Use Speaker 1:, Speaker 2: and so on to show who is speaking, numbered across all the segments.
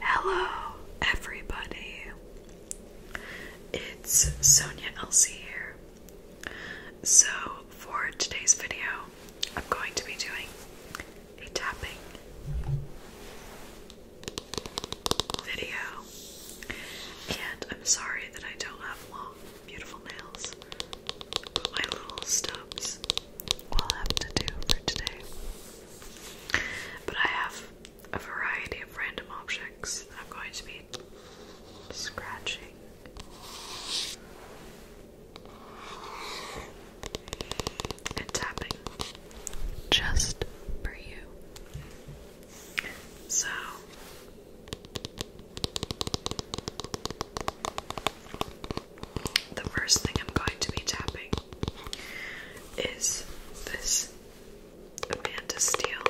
Speaker 1: Hello, everybody. It's Sonia Elsie here. So, for today's video, I'm going to be doing a tapping video. And I'm sorry that I don't have long, beautiful nails, my little stubs will have to do for today. But I have a variety of random objects I'm going to be scratching. And tapping just for you. So the first thing I'm going to be tapping is this Amanda Steele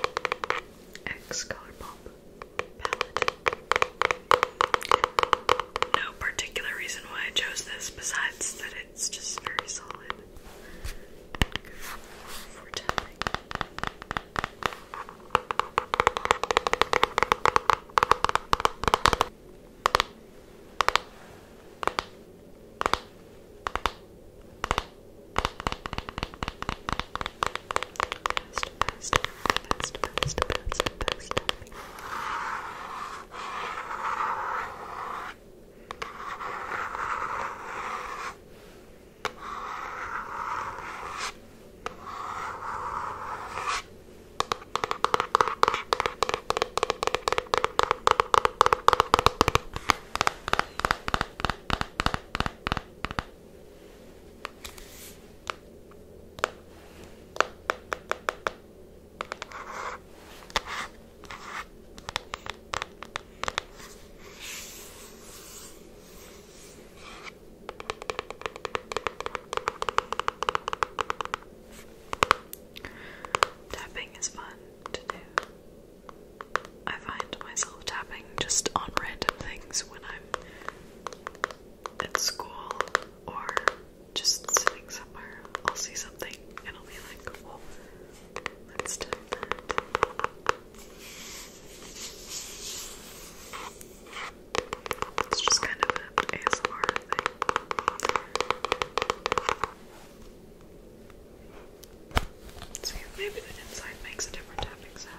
Speaker 1: X Colourpop palette. No particular reason why I chose this besides that it's just very solid. Best, best, best, best, best, best. Tapping is fun. I find myself tapping just on random things when I'm at school or just sitting somewhere. I'll see something and I'll be like, let's do that. It's just kind of an ASMR thing. See maybe the inside makes a different tapping sound.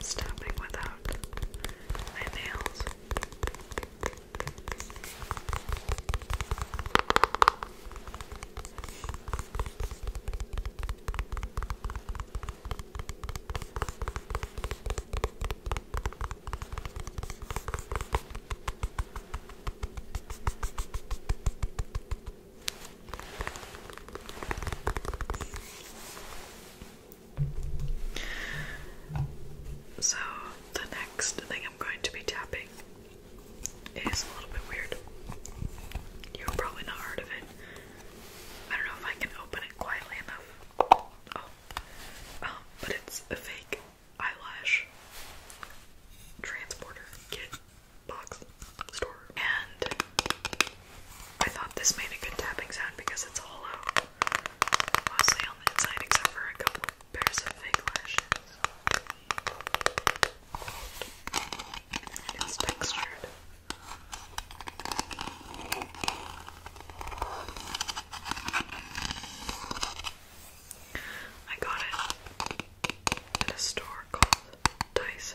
Speaker 1: Stopping without my nails. So, the next thing I'm going to be tapping is a little bit weird. You're probably not heard of it. I don't know if I can open it quietly enough. Oh, um, but it's a fake eyelash transporter kit box store. And I thought this made a good tapping sound because it's hollow, mostly on the inside, except for a couple pairs of fake it's textured. I got it at a store called Daiso.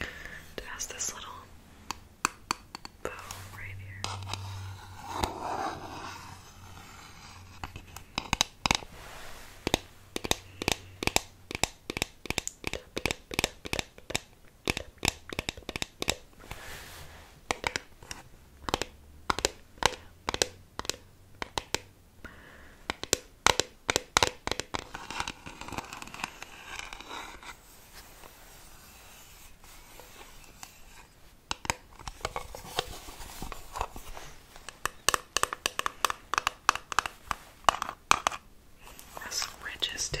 Speaker 1: It has this little bow right here. That's some ridges too.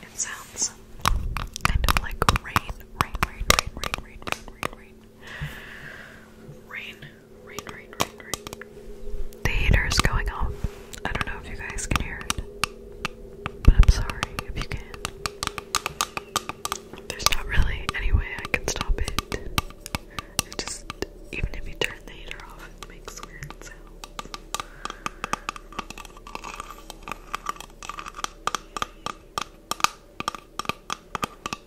Speaker 1: It sounds kind of like rain, rain, rain, rain, rain, rain, rain, rain, rain. Rain, rain, rain, The heater's going off. I don't know if you guys can hear it, but I'm sorry if you can. not There's not really any way I can stop it. It just, even if you turn the heater off, it makes weird sounds.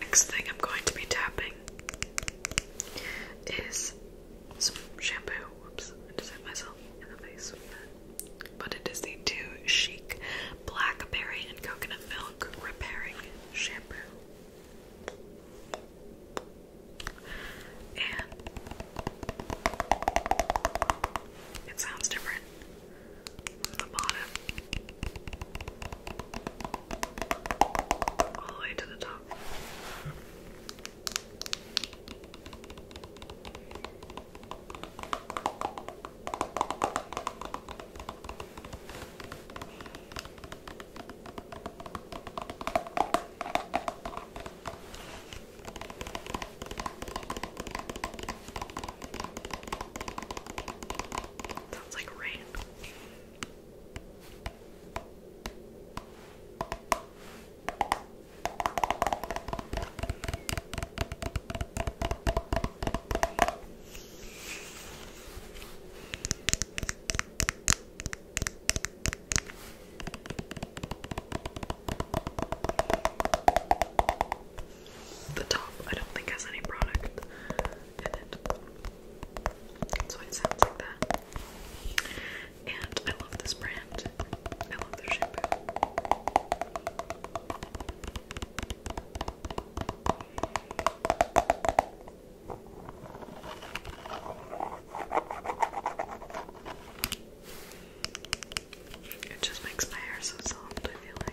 Speaker 1: Next thing I'm going to be tapping is some shampoo. Oops, I just hit myself in the face with that. But it is the Too Chic Blackberry and Coconut Milk Repairing Shampoo. And it sounds different on the bottom, all the way to the top. Sounds like rain the top I don't think has any product in it. That's it sounds like that. And I love this brand. I love their shampoo. It just makes my hair so soft, I feel like.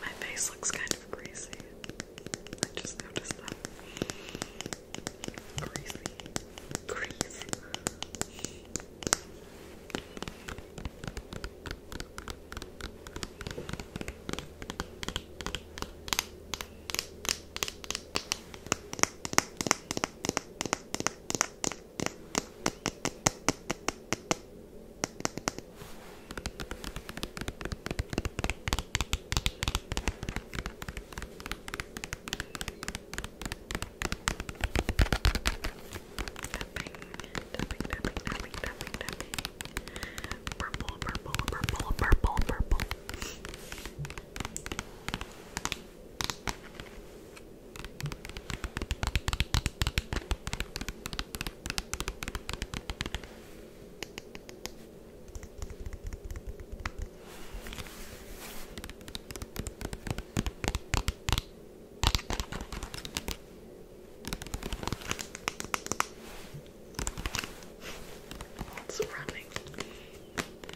Speaker 1: My face looks kind of greasy. I just noticed that. Greasy. Greasy. Tapping, tapping, tapping, tapping, tapping. Purple, purple, purple, purple, purple, What's running?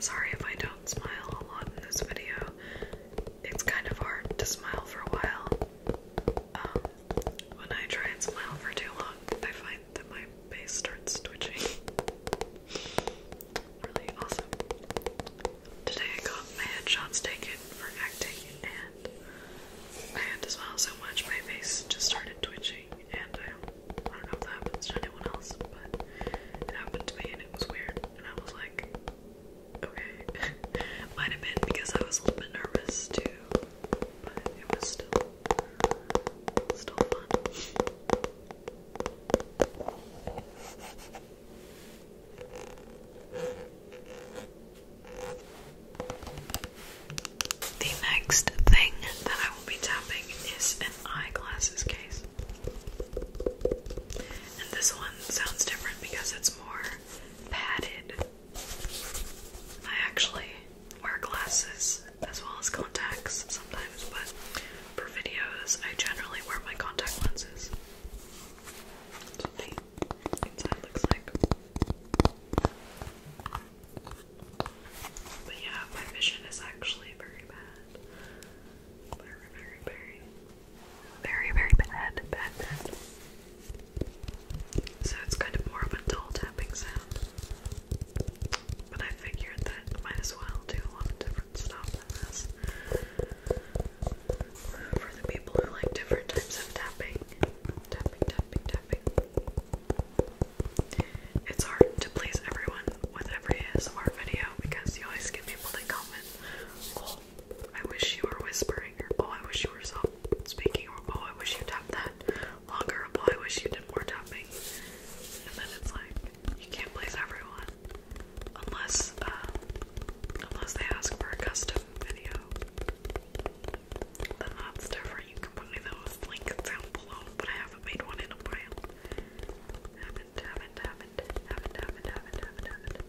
Speaker 1: Sorry if I don't smile a lot in this video. It's kind of hard to smile for a while. Um, when I try and smile for too long, I find that my face starts twitching. really awesome. Today I got my headshots taken for acting, and I had to smile so much my face just started twitching, and I don't know if that happens to anyone else, but it happened to me and it was weird, and I was like, Okay. Might have been because I was a little bit nervous too. But it was still still fun. The next thing that I will be tapping is an eyeglasses case. And this one sounds different because it's more padded. I actually wear glasses as well as contacts sometimes, but for videos, I generally wear my contact lenses. But yeah, my vision is actually very bad. Very, very, very very, very bad, bad, bad. So it's kind of more of a dull tapping sound. But I figured that might as well do a lot of different stuff than this. For the people who like different types of tapping. Tapping, tapping, tapping. It's hard to please everyone with every ASMR video because you always get people that comment, oh, I wish you were whispering, or oh, I wish you were soft speaking, or oh, I wish you tapped that longer, or oh, I wish you did more tapping. And then it's like, you can't please everyone unless, uh, unless they ask for a custom video. Then that's different. You can put those links down below, but I haven't made one in a while. Haven't, haven't, haven't, haven't, haven't, haven't, haven't, haven't.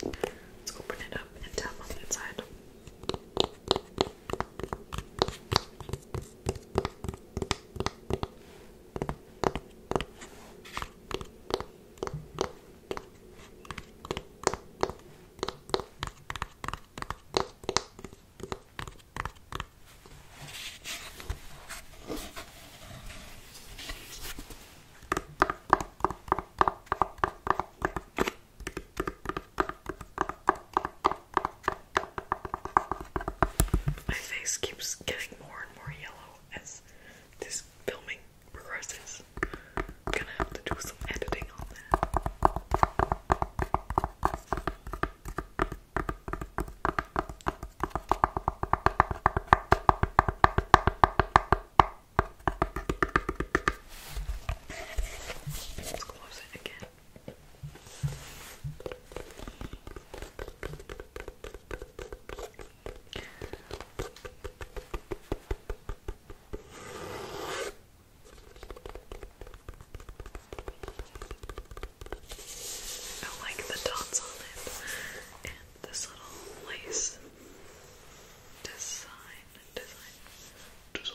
Speaker 1: Let's open it up and tap on the inside. My face keeps getting more and more yellow as this filming progresses. I'm gonna have to do some editing on that. Let's close it again. I like the dots on it and this little lace design, design, design.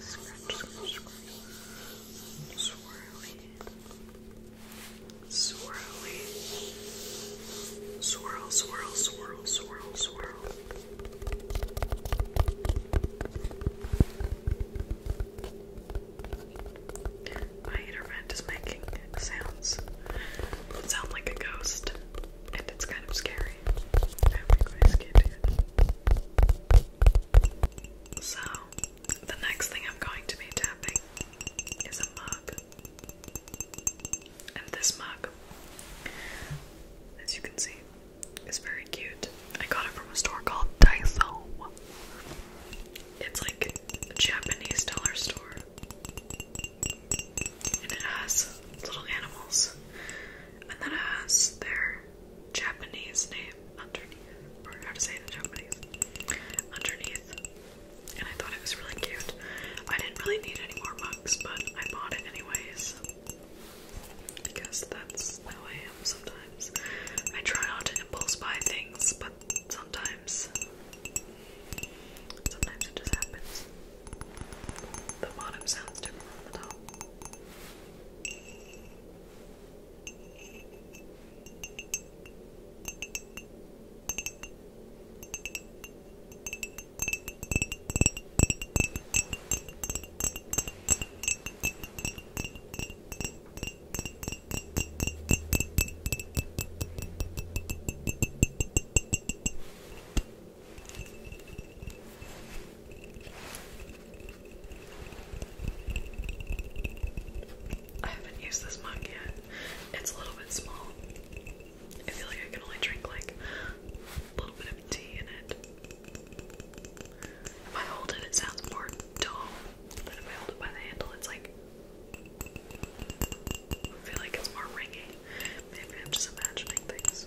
Speaker 1: Scratch, scratch, scratch. Swirly. Swirly. Swirl, swirl, swirl, swirl, swirl. My inner is making sounds sound like a ghost, and it's kind of scary. I hope you guys it. So, the next thing I'm going to be tapping is a mug. And this mug, as you can see, it's very cute. I got it from a store called Daiso. It's like a Japanese dollar store. And it has little animals. And then it has their Japanese name underneath. Or how to say it in Japanese. Underneath. And I thought it was really cute. I didn't really need any more mugs, but I bought it anyways. Because that's how I am sometimes. I try not to impulse buy things, but sometimes sometimes it just happens. The bottom sounds different from the top. I haven't used this mug yet. It's a little bit small. I feel like I can only drink like a little bit of tea in it. If I hold it, it sounds more dull, but if I hold it by the handle, it's like. I feel like it's more ringing. Maybe I'm just imagining things.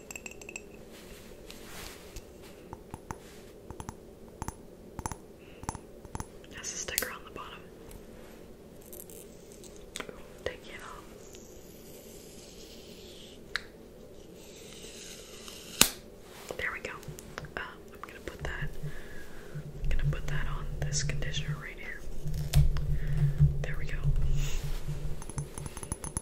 Speaker 1: Has a sticker on the bottom. take it off. There we go. Um, I'm gonna put that. I'm gonna put that on this conditioner right here. There we go.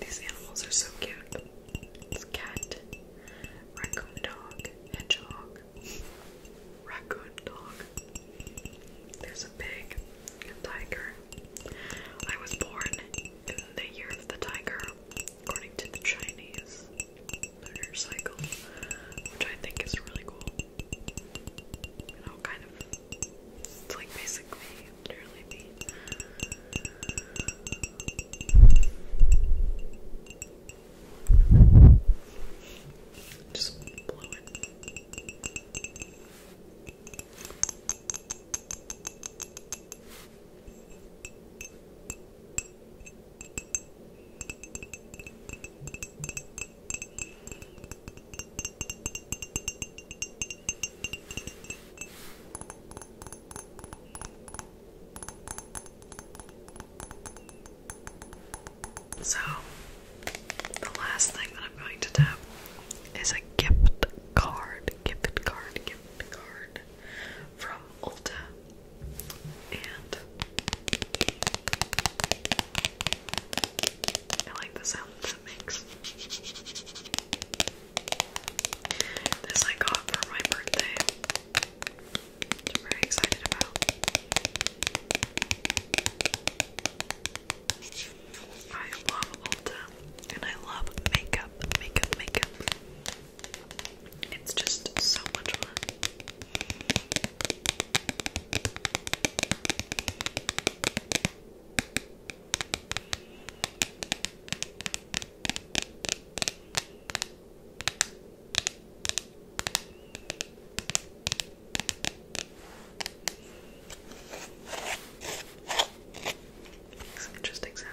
Speaker 1: These animals are so cute. It's cat, raccoon dog, hedgehog, raccoon dog. There's a pig, a tiger. I was born in the year of the tiger, according to the Chinese lunar cycle, which I think is really cool. You know, kind of. It's like basically can literally be. Just blow it. So, the last thing that I'm going to tap is a gift card, gift card, gift card from Ulta. And I like the sound that it makes. This I got for my birthday, I'm very excited about. I love Ulta and I love makeup, makeup, makeup. It's just so much fun. Makes an interesting sound.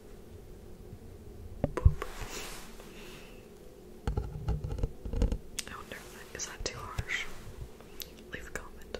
Speaker 1: Boop. I wonder if that too harsh? Leave a comment.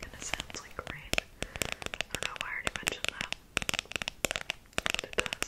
Speaker 1: Kinda sounds like rain. I don't know why I already mentioned that. But it does.